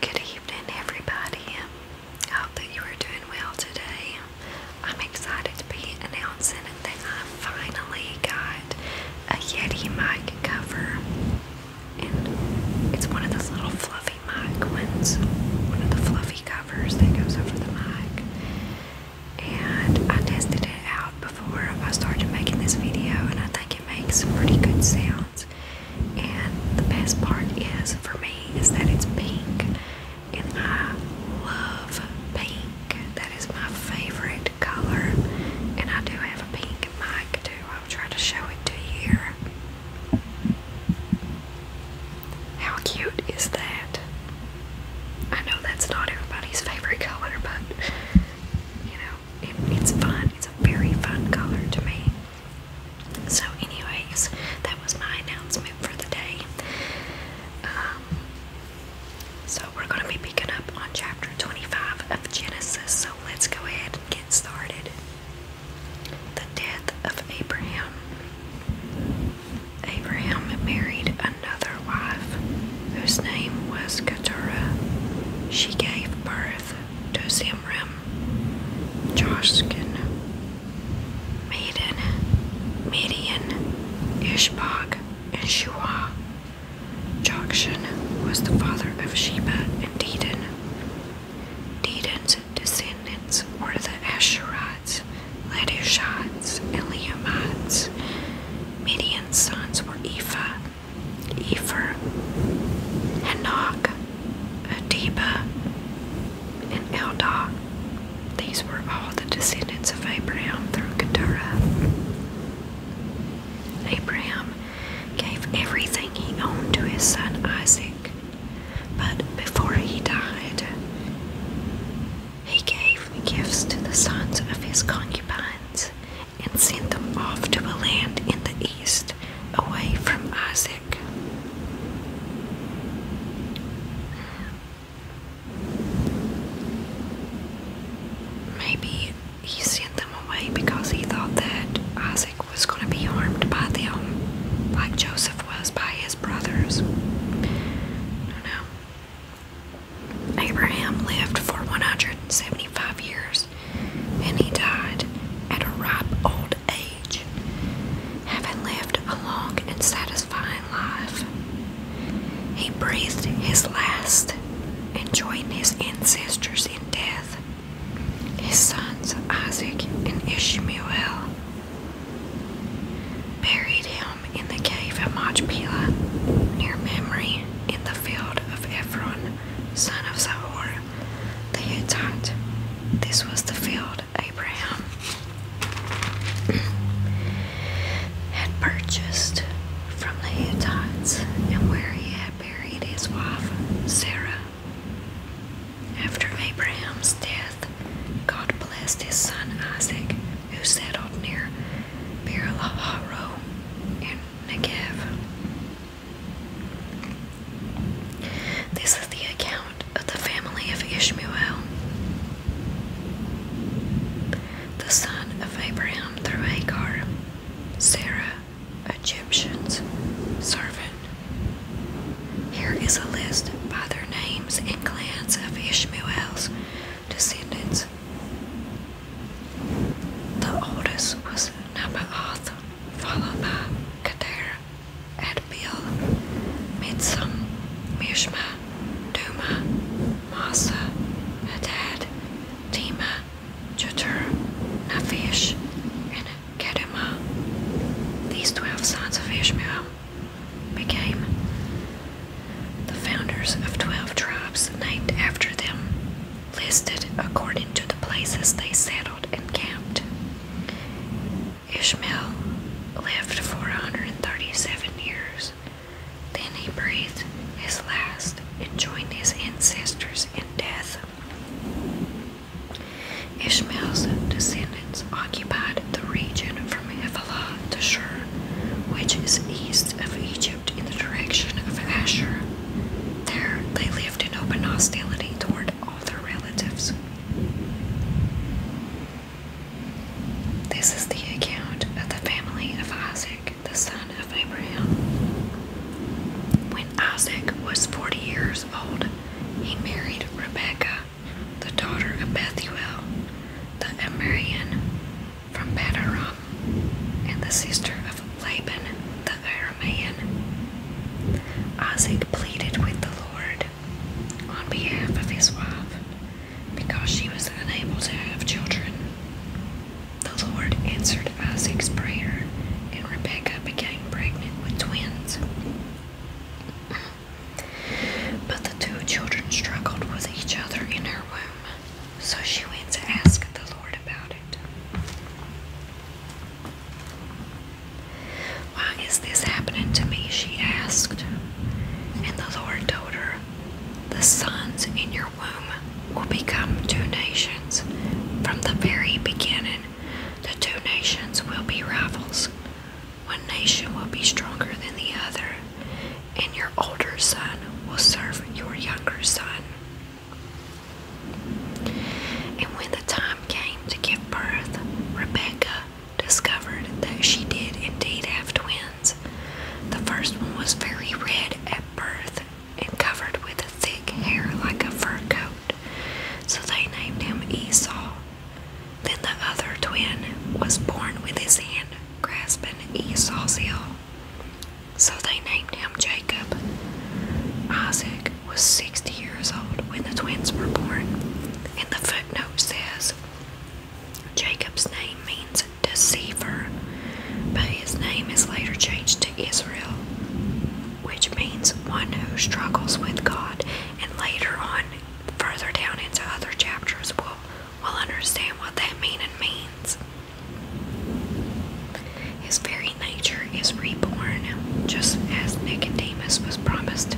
Good evening, everybody. I hope that you are doing well today. I'm excited to be announcing that I finally got a Yeti mic cover, and it's one of those little fluffy mic one of the fluffy covers that goes over the mic. And I tested it out before I started making this video, and I think it makes some pretty good sound. And the best part is for me is that it's pink, and I love pink. That is my favorite color, and I do have a pink mic too. I'll try to show it to you How cute is that? I know that's not everybody's favorite color, but you know, it's fun. It's a very fun color to me. So, anyways, that was my announcement for the day. Um, so, we're going to be picking up on chapter 25 of Genesis. So, let's go ahead and get started. The death of Abraham. Abraham married another wife whose name was Keturah. She gave birth to Zimram Joskin, Maiden, Median, Ishbog, and Shua. Jokshan was the father of Sheba and Dedan. Dedan's descendants were the Asherites, Ladushites, and Leomites. Midian's sons were Ephah, Ephor, Hanok, Adiba, and Eldah. These were all the descendants of Abraham through Keturah. Abraham gave everything he owned to his son Isaac, but before he died, he gave gifts to the sons of his concubines and sent them off to a land in the east away from Isaac. Maybe he sent them away because he thought that Isaac was going to be harmed by them, like Joseph was by his brothers. I do Abraham lived for 175 years and he died at a ripe old age, having lived a long and satisfying life. He breathed his last and joined his ancestors in death, his sons Isaac and Ishmael. Buried him in the cave of Machpelah, near Mamre, in the field of Ephron, son of Zahor. They attacked. This was the field Abraham had purchased from the Hittites and where he had buried his wife, Sarah. After Abraham's death, God blessed his son Isaac, who settled near Beer-laharo in Negev. This is the account of the family of Ishmael, the son of Abraham through Hagar, Sarah, Egyptian's servant. Here is a list by their names and clans of Ishmael's descendants. The oldest was Nabaoth, Falama, Kader, Erbil, Mitsum, Mishma, Duma, Masa, Hadad, Tima, Jutur, Nafish, and Kedema. These twelve sons of Ishmael became the founders of twelve tribes named after them listed according to the places they settled and camped. Ishmael lived for 137 years. Then he breathed his last and joined his ancestors in death. Ishmael's descendants occupied the region from Havilah to Shur, which is east of Egypt in the direction of Asher. There they lived in open hostility toward all their relatives. This is the account of the family of Isaac, the son of Abraham. When Isaac was forty years old, he married Rebekah, the daughter of Bethuel, the Amorian from Padaram, and the sister of Laban, the her man. Isaac pleaded with the Lord on behalf of his wife because she was unable to have children. The Lord answered Isaac's prayer, and Rebecca became pregnant with twins. But the two children struggled with each other in her womb, so she went to ask the Lord about it. Why is this happening to me? she asked. And the Lord told her, The sons in your womb will become two nations. From the very beginning, the two nations will be rivals. One nation will be stronger than the other, and your older son will serve your younger son. And when the time came to give birth, Rebecca discovered that she did indeed have twins. The first one was very red at birth and covered with a thick hair like a fur coat, so they named him Esau. Then the other twin was born with his hand grasping Esau's heel, so they named him Jacob. Isaac was 60 years old when the twins were born, and the footnote says Jacob's name means deceiver, but his name is later changed to Israel, which means one who struggles with God, and later on, further down into other chapters, we'll, we'll understand what that meaning means. His very nature is reborn, just as Nicodemus was promised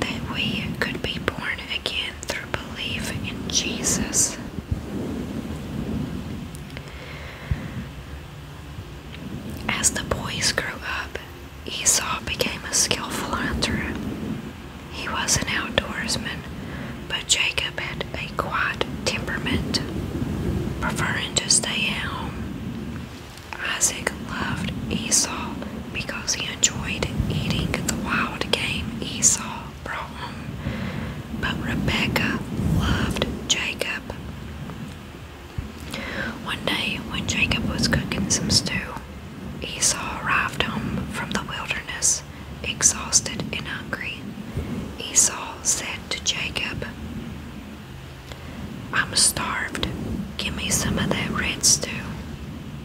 that we could be born again through belief in Jesus. As the boys grew up, Esau became a skillful hunter. He was an outdoorsman, but Jacob had a quiet temperament, preferring to stay at home. Isaac loved Esau because he enjoyed eating the wild game Esau brought home, but Rebecca loved Jacob. One day, when Jacob was cooking some stew, Esau arrived home from the wilderness, exhausted and hungry. Esau said to Jacob, I'm starved. Give me some of that red stew.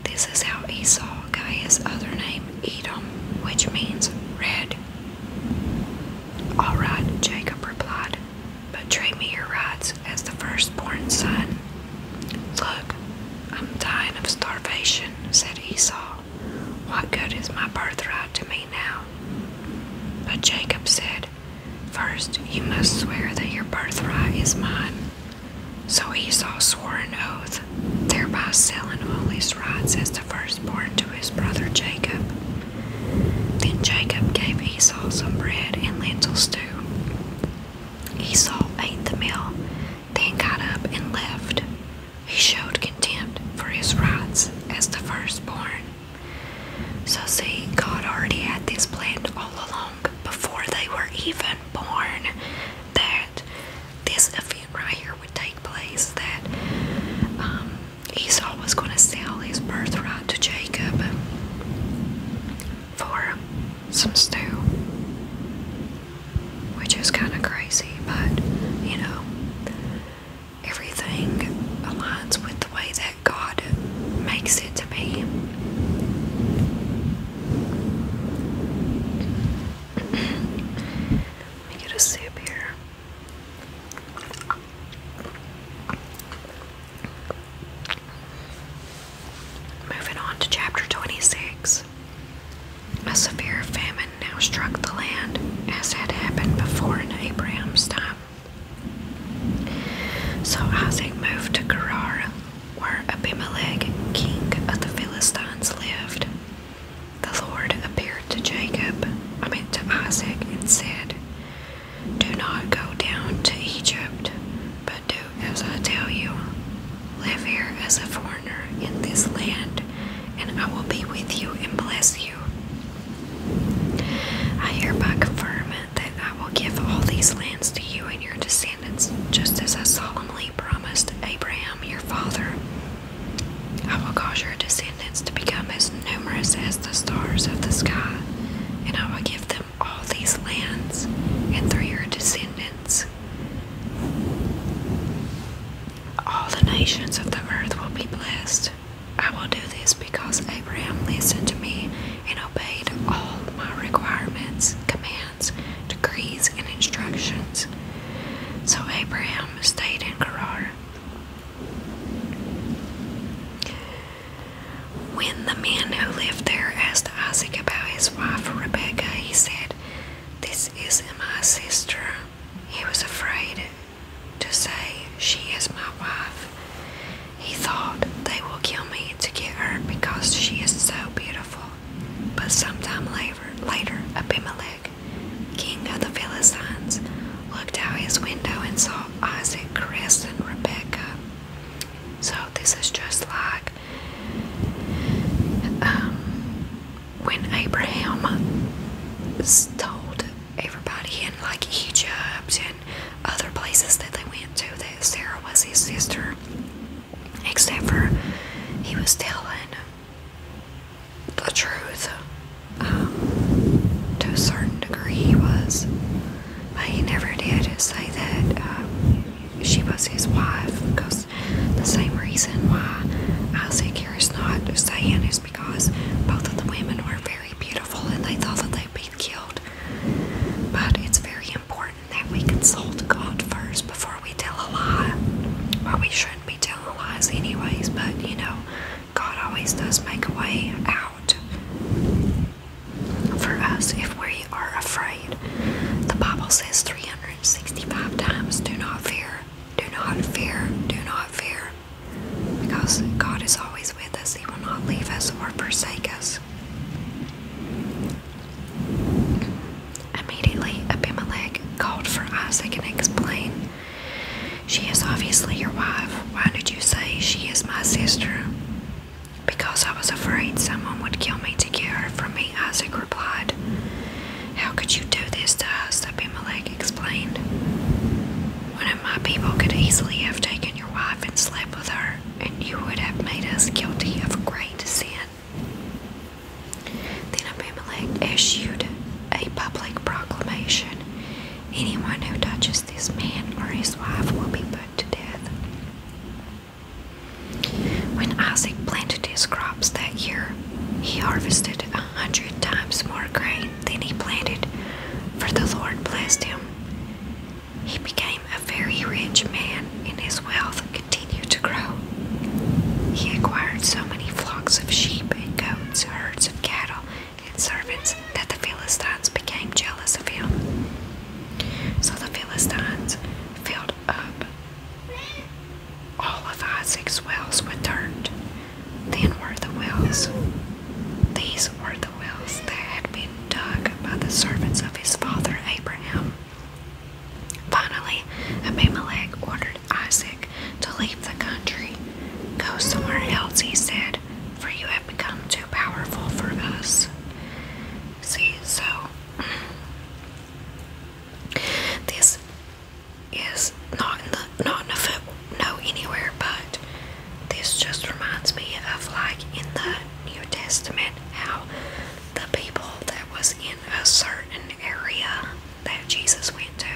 This is how Esau got his other name, Edom, which means red. All right, Jacob replied, but treat me your rights as the firstborn son. Look, I'm dying of starvation, said Esau. What good is my birthright to me now? But Jacob said, First, you must swear that your birthright is mine. So Esau swore an oath, thereby selling all his rights as the firstborn to his brother Jacob. Then Jacob gave Esau some bread and lentil stew. Esau ate the meal, then got up and left. He showed contempt for his rights as the firstborn. So, see, God already had this planned all along before they were even born that this event right here would take place, that um, Esau was going to sell his birthright to Jacob for some stew, which is kind of crazy, but you know, everything aligns with the way that. God makes it to be. Let me get a sip here. Moving on to chapter 26. A severe famine now struck the land, as had happened before in Abraham's time. So Isaac moved to Gerar, where Abimelech, king of the Philistines, lived. The Lord appeared to Jacob, I mean to Isaac, and said, Do not go down to Egypt, but do as I tell you. Live here as a foreigner in this land, and I will be with you and bless you. I hereby confirm that I will give all these lands to you and your descendants, just as I solemnly promised Abraham your father. I will cause your descendants to become as numerous as the stars of the sky, and I will give them all these lands, and through your descendants, all the nations of the earth will be blessed. I will do this because Abraham listened to me and obeyed all my requirements, commands, decrees, and instructions. So Abraham stayed in Gerar. When the men who lived there asked Isaac about his wife Rebecca, he said, This is my sister. He was afraid to say, She is my wife. He thought, they will kill me to get her because she is so beautiful. But sometime later, later Abimelech, king of the Philistines, looked out his window and saw Isaac caressing Rebecca. So this is just like um, when Abraham told everybody in like Egypt other places that they went to that Sarah was his sister. Except for he was telling the truth um, to a certain degree, he was. But he never did say that um, she was his wife because the same reason why Isaac here is not saying is because both of the women were very beautiful and they thought that they killed. But it's very important that we consult God first before we tell a lie. Well, we shouldn't be telling lies, anyways, but you know, God always does make a way out for us if we are afraid. The Bible says 365 times do not fear, do not fear, do not fear. Because God is always with us, He will not leave us or forsake us. Immediately, Abimelech called for Isaac and explained, She is obviously your wife. Why did you say she is my sister? Because I was afraid someone would kill me to get her from me, Isaac replied. How could you do this to us? Abimelech explained. One of my people could easily have taken your wife and slept with her and you would have made us guilty of great sin. Then Abimelech issued a public proclamation Anyone who touches this man or his wife will be put to death. When Isaac planted his crops that year, he harvested a hundred times more grain than he planted, for the Lord blessed him. He became a very rich man, and his wealth continued to grow. He acquired so many flocks of sheep and goats, herds of cattle, and servants that the Philistines became jealous of him. So the Philistines filled up all of Isaac's wells with dirt. Then were the wells these were the wells that had been dug by the servants of his father Abraham. Finally, Abimelech ordered Isaac to leave the country. Go somewhere else, he said, for you have become too powerful for us. See, so this is not in the, not in the foot, anywhere, but this just reminds me of like in the New Testament how the people that was in a certain area that Jesus went to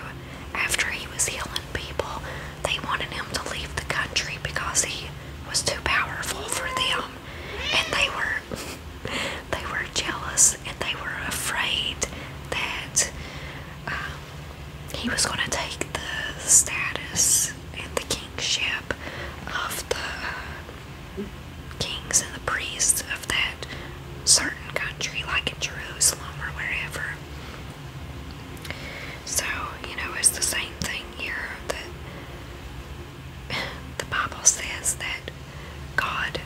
after he was healing people, they wanted him to leave the country because he was too powerful for them. And they were they were jealous and they were afraid that um, he was going to take the status and the kingship of the uh, kings and the priests of that certain country, like in Jerusalem or wherever. So, you know, it's the same thing here that the Bible says that God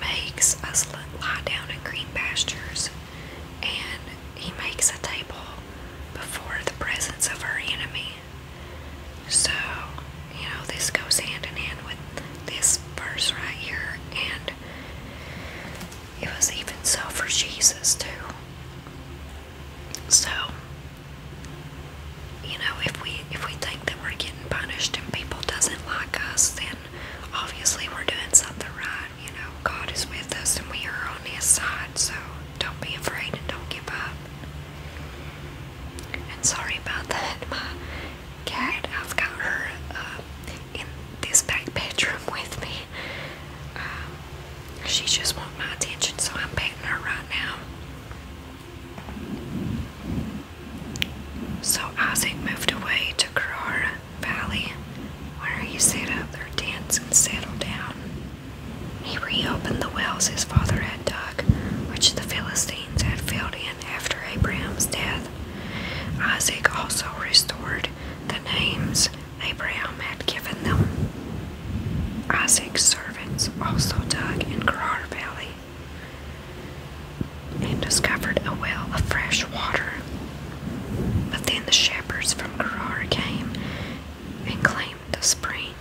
makes us lie down in green pastures and he makes a table before the presence of our enemy. So, you know, this goes hand in hand with this verse right here, and it was even so for Jesus, too. So, you know, if we if we think that we're getting punished and people doesn't like us, then obviously we're doing something right. You know, God is with us and we are on His side. So, don't be afraid and don't give up. And sorry about that, my cat. I've got her uh, in this back bedroom with me. Um, she just wants my attention, so I'm petting her right now. So Isaac moved away to Carrara Valley, where he set up their tents and settled down. He reopened the wells his father had dug, which the Philistines had filled in after Abraham's death. Isaac also restored the names Abraham had given them. Isaac's servants also dug in Gerar Valley and discovered a well of fresh water. But then the shepherds from Gerar came and claimed the spring.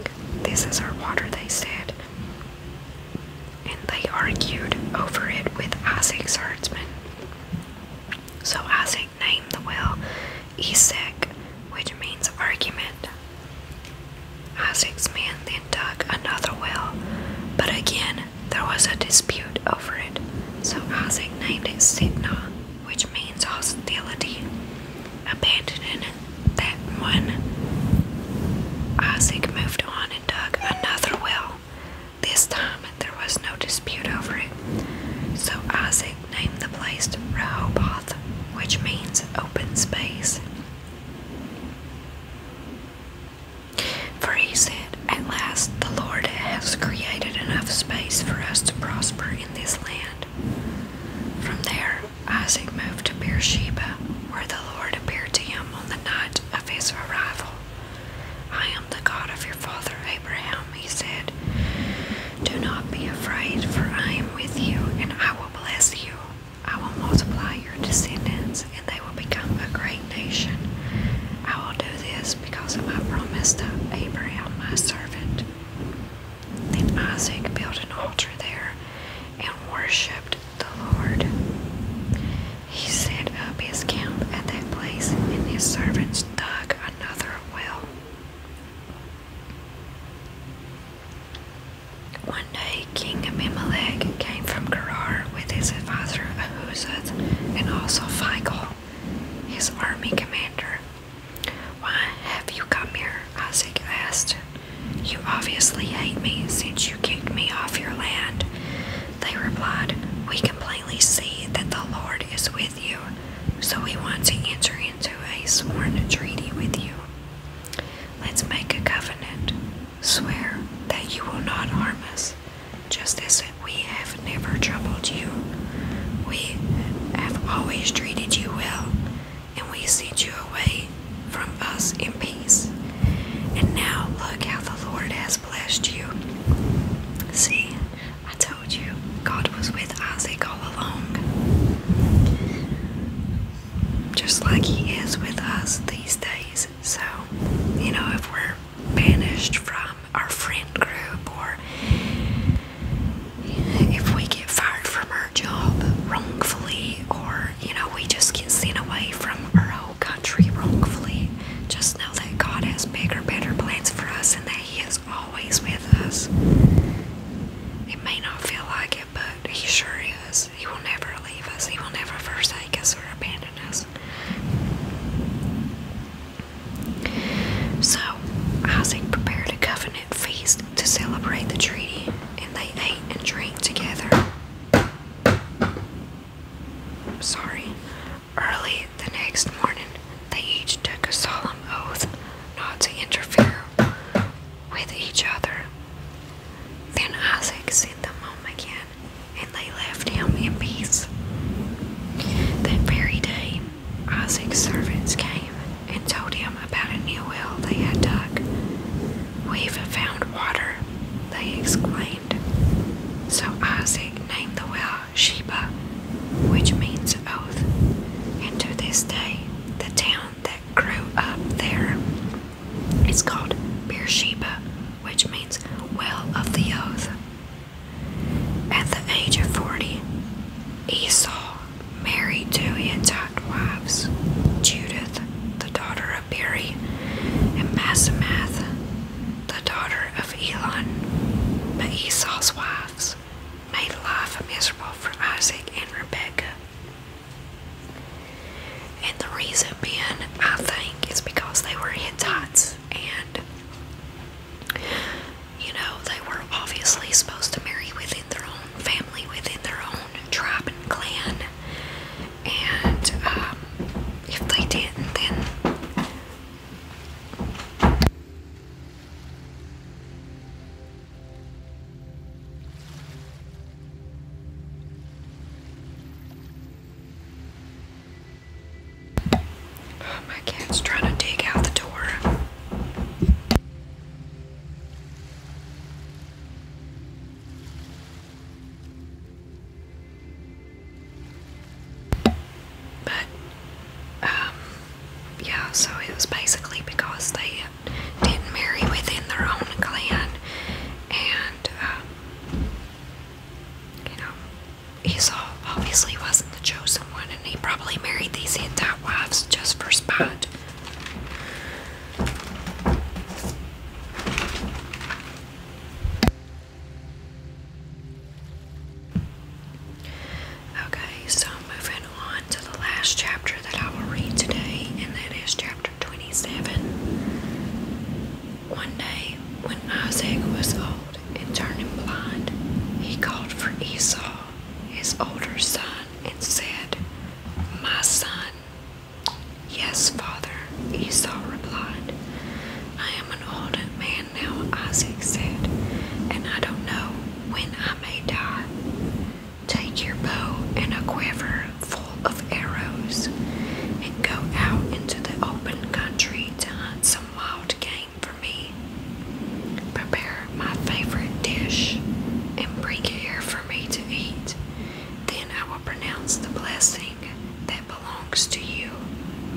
This is our water, they said. And they argued over it with Isaac's herdsman. So Isaac named the well Isaac, which means argument. Isaac's men then dug another well, but again there was a dispute over it. So Isaac named it Sitnah, which means hostility, abandoning that one. Isaac moved on and dug another well. This time there was no dispute over it. So Isaac named the place Rehoboth, which means open space. For he said, At last the Lord has created enough space for us to prosper in this land. From there, Isaac moved to Beersheba, where the Lord appeared to him on the night of his arrival. I am the God of your father Abraham, he said. Do not be afraid, for I am with you, and I will bless you. I will multiply your descendants, and they will become a great nation. I will do this because of my promise to Abraham, my servant. Then Isaac built an altar there and worshipped the Lord. He set up his camp at that place, and his servants dug another well. One day, King Abimelech came from Gerar with his advisor Ahuzzath and also Phicol, his army commander. Why have you come here? Isaac asked. You obviously hate me since you kicked me off your land. They replied, We can plainly see that the Lord is with you, so we want to enter into a sworn treaty with you. Let's make a covenant. Swear that you will not harm us, just as we have never troubled you. We have always treated you well, and we sent you away from us in peace. And now look how the Lord has blessed you. See, I told you God was with Isaac all along. Just like He is with us these days. So, you know, if we're banished from our friend group or if we get fired from our job wrongfully or you know we just get sent away from our whole country wrongfully just know that god has bigger better plans for us and that he is always with us it may not feel like it but he sure is he will never leave us he will never forsake us or abandon us so isaac prepared to covenant feast to celebrate the treaty, and they ate and drank together. I'm Sorry. Early the next morning, they each took a solemn oath not to interfere with each other. Then Isaac sent them home again, and they left him in peace. That very day, Isaac's servants came and told him about a new well they had dug. We've found water, they exclaimed. So Isaac named the well Sheba, which means oath, and to this day, the town that grew up there is called Beersheba, which means well of the oath. At the age of forty, Esau married to his wives, Judith, the daughter of Beri, and Basemath, the daughter of Elon. But Esau's wives made life miserable for Isaac and Rebekah. And the reason being, I think, is because they were Hittites and you know, they were obviously supposed to marry within their own family, within their own tribe and clan. And um, if they didn't, then. Oh, my cat's trying to dig out the door. But, um, yeah, so it was basically because they didn't marry within their own clan, and, um, you know, Esau obviously wasn't the chosen one, and he probably married these Hittite wives just for sport. Okay, so moving on to the last chapter that I will read today, and that is chapter 27. One day, when Isaac was old and turning blind, he called for Esau, his older son, and said, My son. Yes, father, Esau replied. I am an old man now, Isaac said, and I don't know when I may die. Take your bow and a quiver full of arrows, and go out into the open country to hunt some wild game for me. Prepare my favorite dish and bring it here for me to eat. Then I will pronounce the blessing that belongs to you,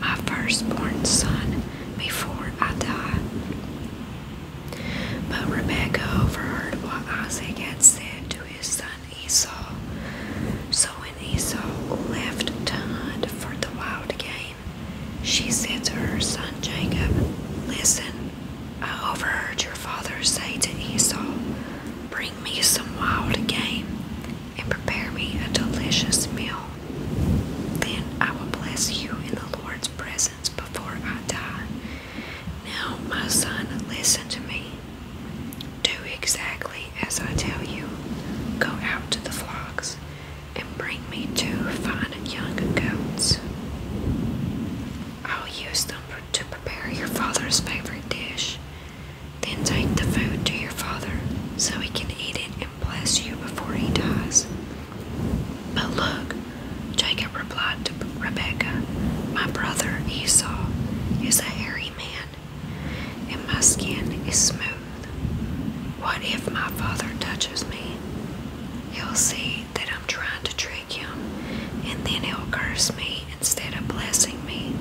my firstborn son, before I die. But Rebekah overheard what Isaac had said to his son Esau. So when Esau left to hunt for the wild game, she said to her son Jacob, Listen, I overheard your father say to Esau, Bring me some wild game and prepare me a delicious meal. Then I will bless you in the Lord's presence before I die. Now, my son, listen to me. Do exactly as I tell you. Go out to the flocks and bring me two fine young goats. I'll use them to prepare your father's favorite dish. Then take the food to your father so he can eat it and bless you before he dies. But look, Jacob replied to Rebekah, My brother Esau is a hairy man, and my skin is smooth. What if my father touches me? He'll see that I'm trying to trick him, and then he'll curse me instead of blessing me.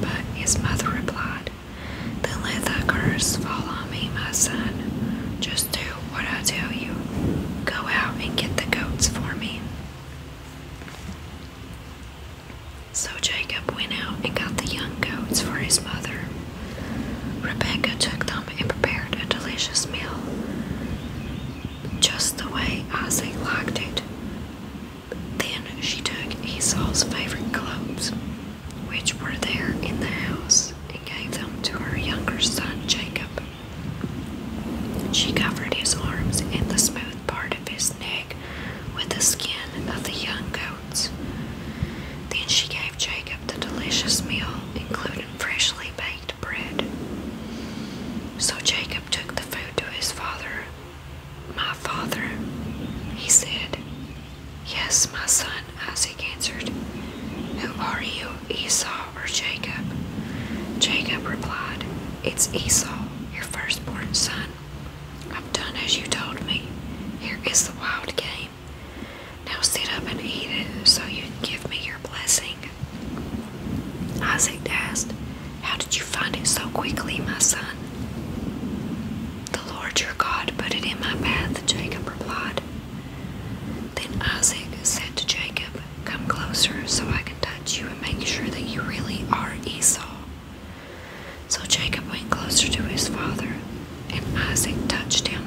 But his mother replied, Then let thy curse fall on me, my son. Just do what I tell you. Go out and get the goats for me. So Jacob went out and got the young goats for his mother. Rebecca took them and prepared a delicious meal, just the way Isaac liked it. Then she took Esau's favorite clothes, which were there in the house, and gave them to her younger son Jacob. She covered his arms and the smooth part of his neck with the skin of the young goats. Then she gave Jacob the delicious meal, including freshly baked bread. So Jacob took the food to his father. My father, he said. Yes, my son, Isaac answered. Who are you, Esau or Jacob? Jacob replied, It's Esau, your firstborn son. I've done as you told me. Here is the wild game. Now sit up and eat it so you can give me your blessing. Isaac asked, How did you find it so quickly, my son? The Lord your God put it in my path, Jacob replied. Then Isaac said to Jacob, Come closer so I can touch you and make sure that you really are Esau. So Jacob went closer to his father, and Isaac touched him.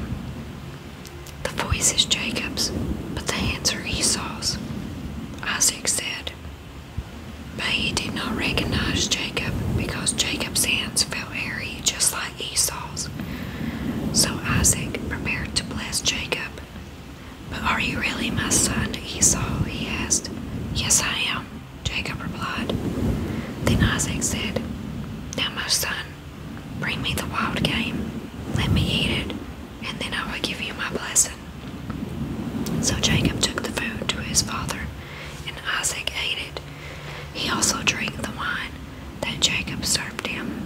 The voice is Jacob's, but the hands are Esau's. Isaac said, But he did not recognize Jacob because Jacob's hands felt hairy just like Esau's. So Isaac prepared to bless Jacob. But are you really my son, Esau? he asked. Yes, I am, Jacob replied. Then Isaac said, Now, my son, Bring me the wild game, let me eat it, and then I will give you my blessing. So Jacob took the food to his father, and Isaac ate it. He also drank the wine that Jacob served him.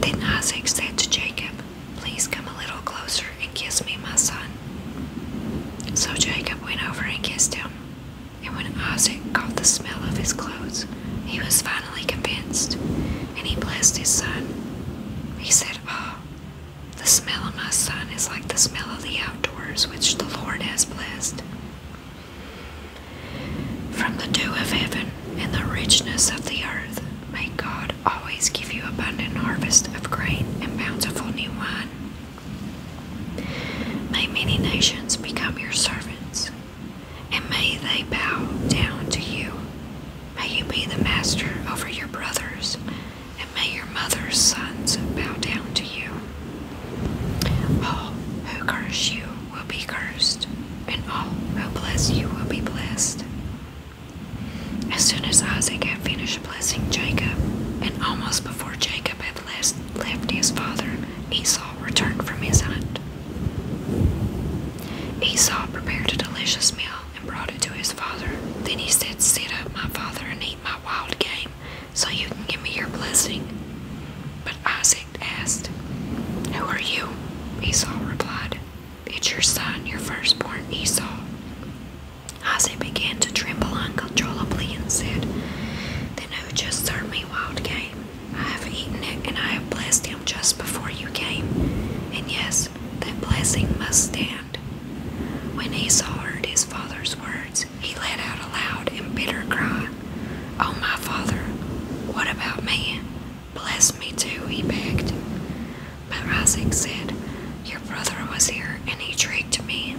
Then Isaac said to Jacob, Please come a little closer and kiss me, my son. So Jacob went over and kissed him. And when Isaac caught the smell of his clothes, he was fine finally convinced, and he blessed his son. He said, oh, the smell of my son is like the smell of the outdoors which the Lord has blessed. From the dew of heaven and the richness of the earth, may God always give you abundant harvest of grain and bountiful new wine. May many nations become your servants, and may they bow down to you. May you be the master over your brothers, and may your mother's sons bow down to you. All who curse you will be cursed, and all who bless you will be blessed. As soon as Isaac had finished blessing Jacob, and almost before Jacob had left his father, Esau returned from his hunt. Esau prepared a delicious meal and brought it to his father. Then he said, Sit up, my father, and eat my wild game, so you can give me your blessing. But Isaac asked, Who are you? Esau replied, It's your son, your firstborn Esau. Isaac began to tremble uncontrollably and said, Then who just served me wild game? I have eaten it, and I have blessed him just before you came. And yes, that blessing must stand. When Esau heard his father's words, he let out a loud and bitter cry. Oh, my father, what about me? Bless me too, he begged. But Isaac said, Your brother was here, and he tricked me.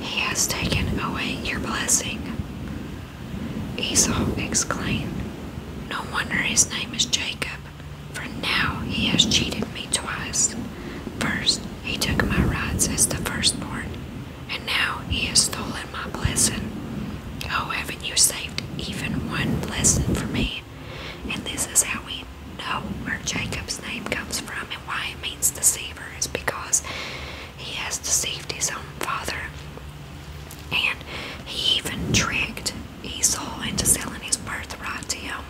He has taken away your blessing. Esau exclaimed, No wonder his name is Jacob, for now he has cheated me twice. First, he took my rods as the firstborn, and now he has stolen my blessing. Oh, haven't you saved even one blessing for me? And this is how we know where Jacob's name comes from and why it means deceiver is because he has deceived his own father and he even tricked Esau into selling his birthright to him.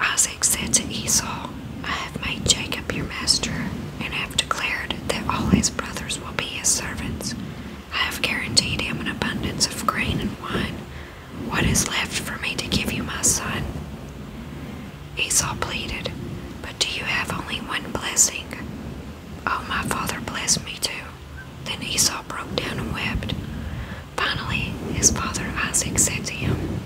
Isaac said to Esau, I have made Jacob your master, and have declared that all his brothers will be his servants. I have guaranteed him an abundance of grain and wine. What is left for me to give you, my son? Esau pleaded, But do you have only one blessing? Oh, my father blessed me too. Then Esau broke down and wept. Finally, his father Isaac said to him,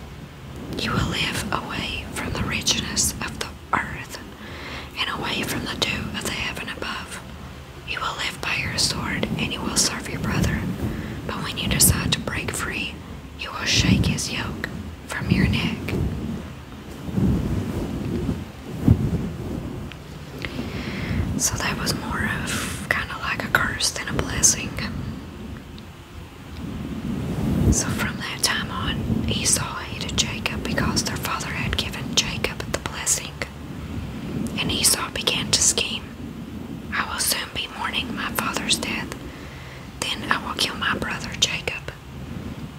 You will live away from the richness of the earth and away from the dew of the heaven above. You will live by your sword and you will serve your brother. But when you decide to break free, you will shake his yoke from your neck. So that was more of kind of like a curse than a blessing. So from that time on, Esau hated Jacob because their father had given Jacob the blessing. And Esau began to scheme I will soon be mourning my father's death. Then I will kill my brother Jacob.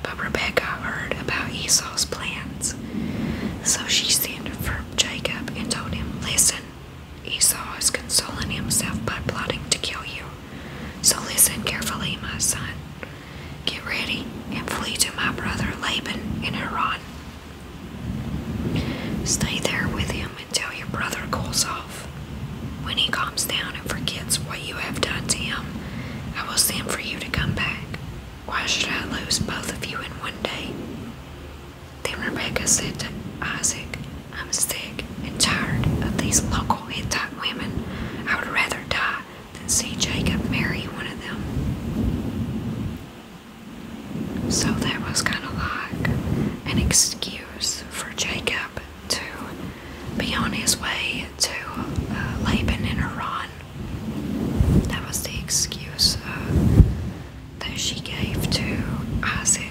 But Rebecca heard about Esau's plans. So she sent for Jacob and told him, Listen, Esau is consoling himself by plotting to kill you. So listen carefully, my son. Get ready and flee to my brother Laban in Haran. Stay there with him until your brother cools off. When he calms down and forgets what you have done to him, I will send for you to come back. Why should I lose both of you in one day? Then Rebecca said to Isaac, I'm sick and tired of these local Hittite women. I would rather die than see Jacob marry one of them. So that was kind of like an excuse for Jacob to be on his way to uh, Laban in Iran. That was the excuse uh, that she gave to Isaac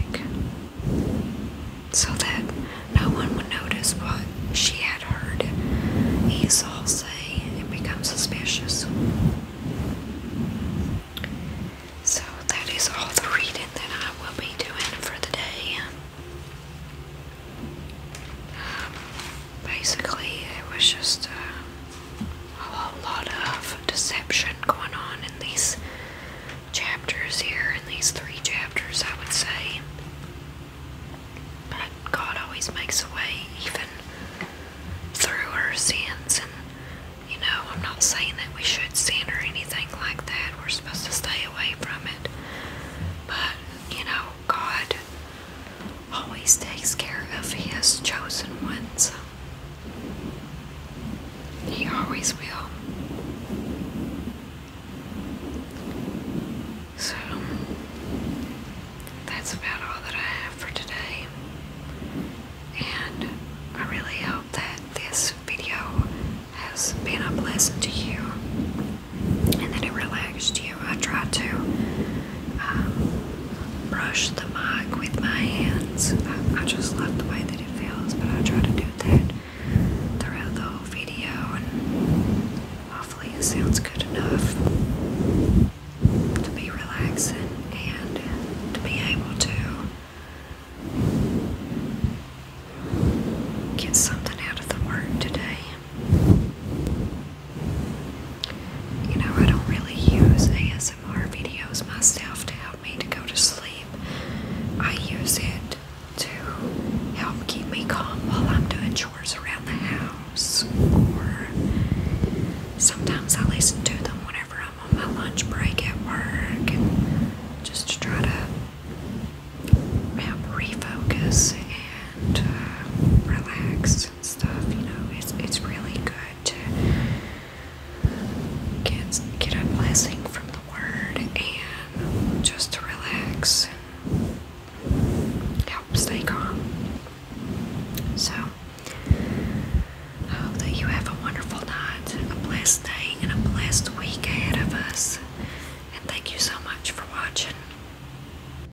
so that no one would notice what she had heard Esau say and become suspicious. So that is all the reading that I will be doing for the day basically, it was just uh, a whole lot of deception going on in these chapters here, in these three chapters, I would say. But God always makes a way, even through our sins. And, you know, I'm not saying that we should sin or anything like that. We're supposed to stay away from it. But, you know, God always takes care of His chosen ones. He always will. So, that's about all that I have for today. And I really hope that this video has been a blessing to you and then it relaxed you. I tried to um, brush the mug with my hands. I, I just love the way that it feels, but I try to do that throughout the whole video, and hopefully it sounds good enough to be relaxing and to be able to get something out of the work today. You know, I don't really use ASMR videos myself to help me to go to sleep. I use it to help keep me calm while I'm doing chores around the house. Or sometimes I listen to them whenever I'm on my lunch break at work and just to try to help refocus and uh, relax and stuff. You know, it's it's really good to get get a blessing from the Word and just to relax and help stay calm. So, hope that you have a wonderful night, a blessed day, and a blessed week ahead of us. And thank you so much for watching.